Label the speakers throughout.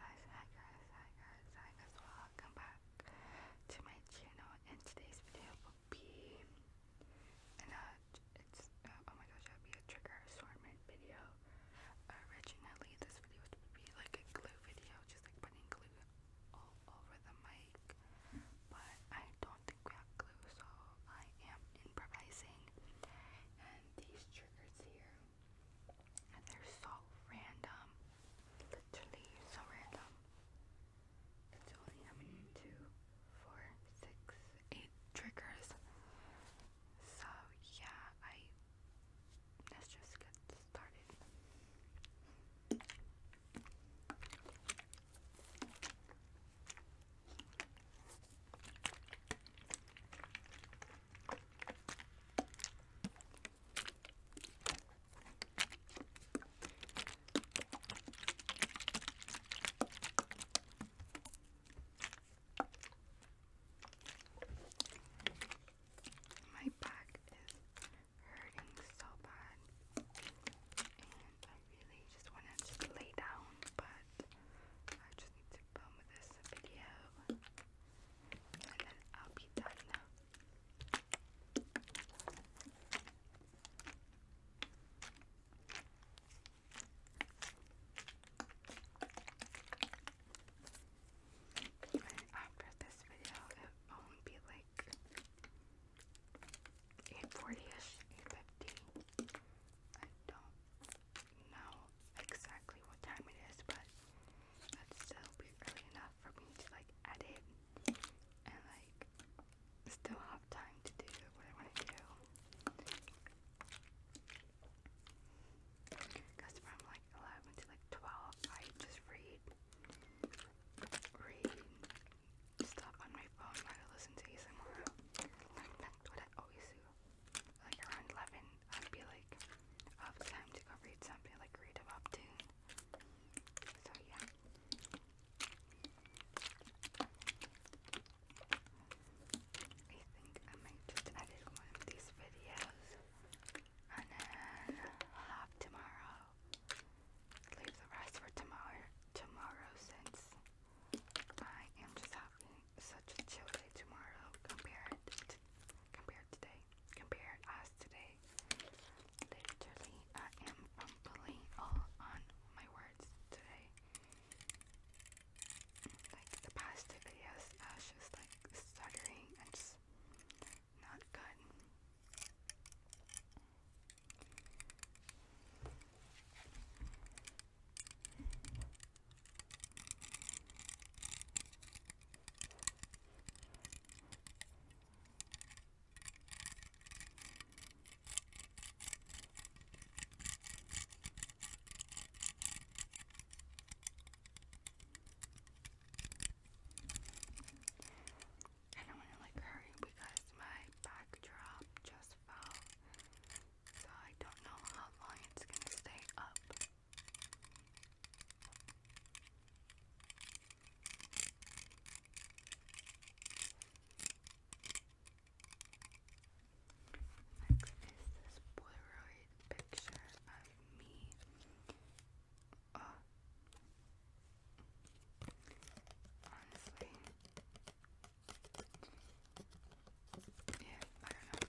Speaker 1: hi guys, hi guys, hi guys, welcome back to my channel and today's video will be uh, it's, uh, oh my gosh, it'll be a trigger assortment video originally this video would be like a glue video, just like putting glue all over the mic but I don't think we have glue so I am improvising and these triggers here they're so random. Literally so random. It's only Two, four, six, eight triggers. So yeah, I let's just get started. My back is hurting so bad, and I really just want to lay down, but I just need to film this video. I'll be done after this video, it won't be like 840-ish, 850. I don't know exactly what time it is, but that still early enough for me to like edit and like still have time to do what I want to do. Because from like 11 to like 12, I just read, read stuff on my phone while I listen to ASMR. that's what I always do like around 11, I'd be like, I have time to go read something, like read a webtoon. So yeah. I think I might just edit one of these videos and then have tomorrow. Leave the rest for tomorrow. Tomorrow, since I am just having such a chill day tomorrow compared compared today. Compared us today. Literally, I am fumbling all on my words today. Like the past two videos, I was just like stuttering and not good. I don't want to like hurry because my backdrop just fell so I don't know how long it's gonna stay up. Next is this Polaroid picture of me. Honestly, yeah, I don't know.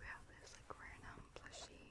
Speaker 1: we have this like random plushie.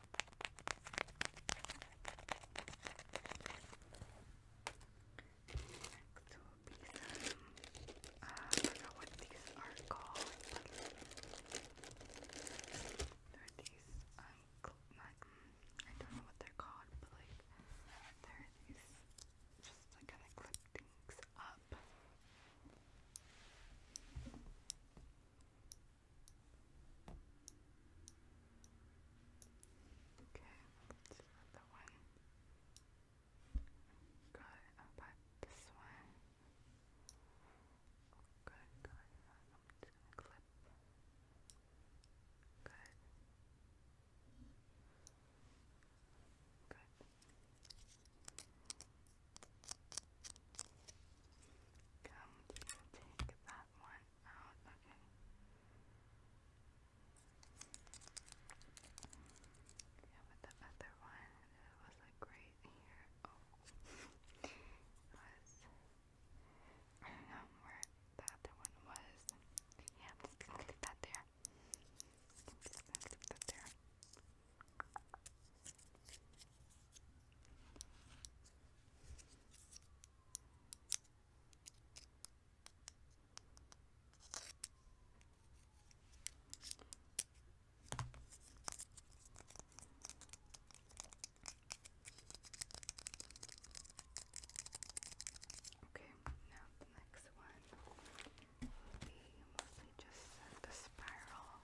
Speaker 1: Next will I forgot what these are called. They're these, um, not, I don't know what they're called, but like, they're these, just to kind of clip things up. Okay, that's not that one. Good, how about this one? good, good. I'm just gonna clip. Good. Good. Come, we take that one out. Okay. Yeah, but the other one, it was like right here. Oh, was. I don't know where the other one was. Yeah, I'm just that there. that there. Okay, now the next one will be mostly just the spiral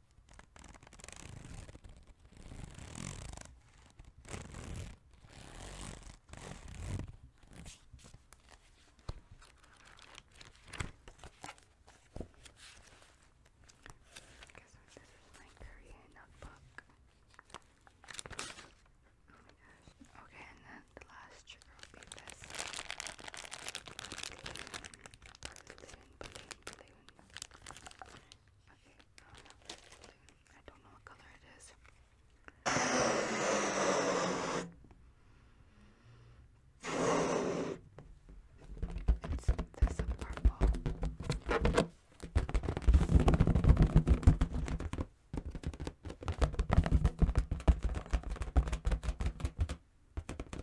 Speaker 1: Guess what? This is my Korean notebook. Oh my gosh. Okay, and then the last trigger will be this. Balloon, balloon, balloon, balloon. Okay, I don't know this balloon. I don't know what color it is. It's this purple.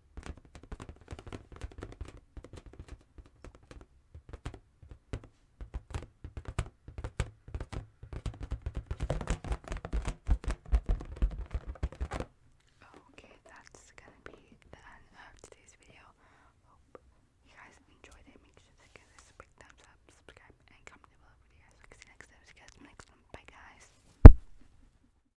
Speaker 1: Okay, that's gonna be the end of today's video. Hope you guys enjoyed it. Make sure to give this a thumbs up, subscribe, and comment below for you guys. So, see See you guys next time. Bye, guys.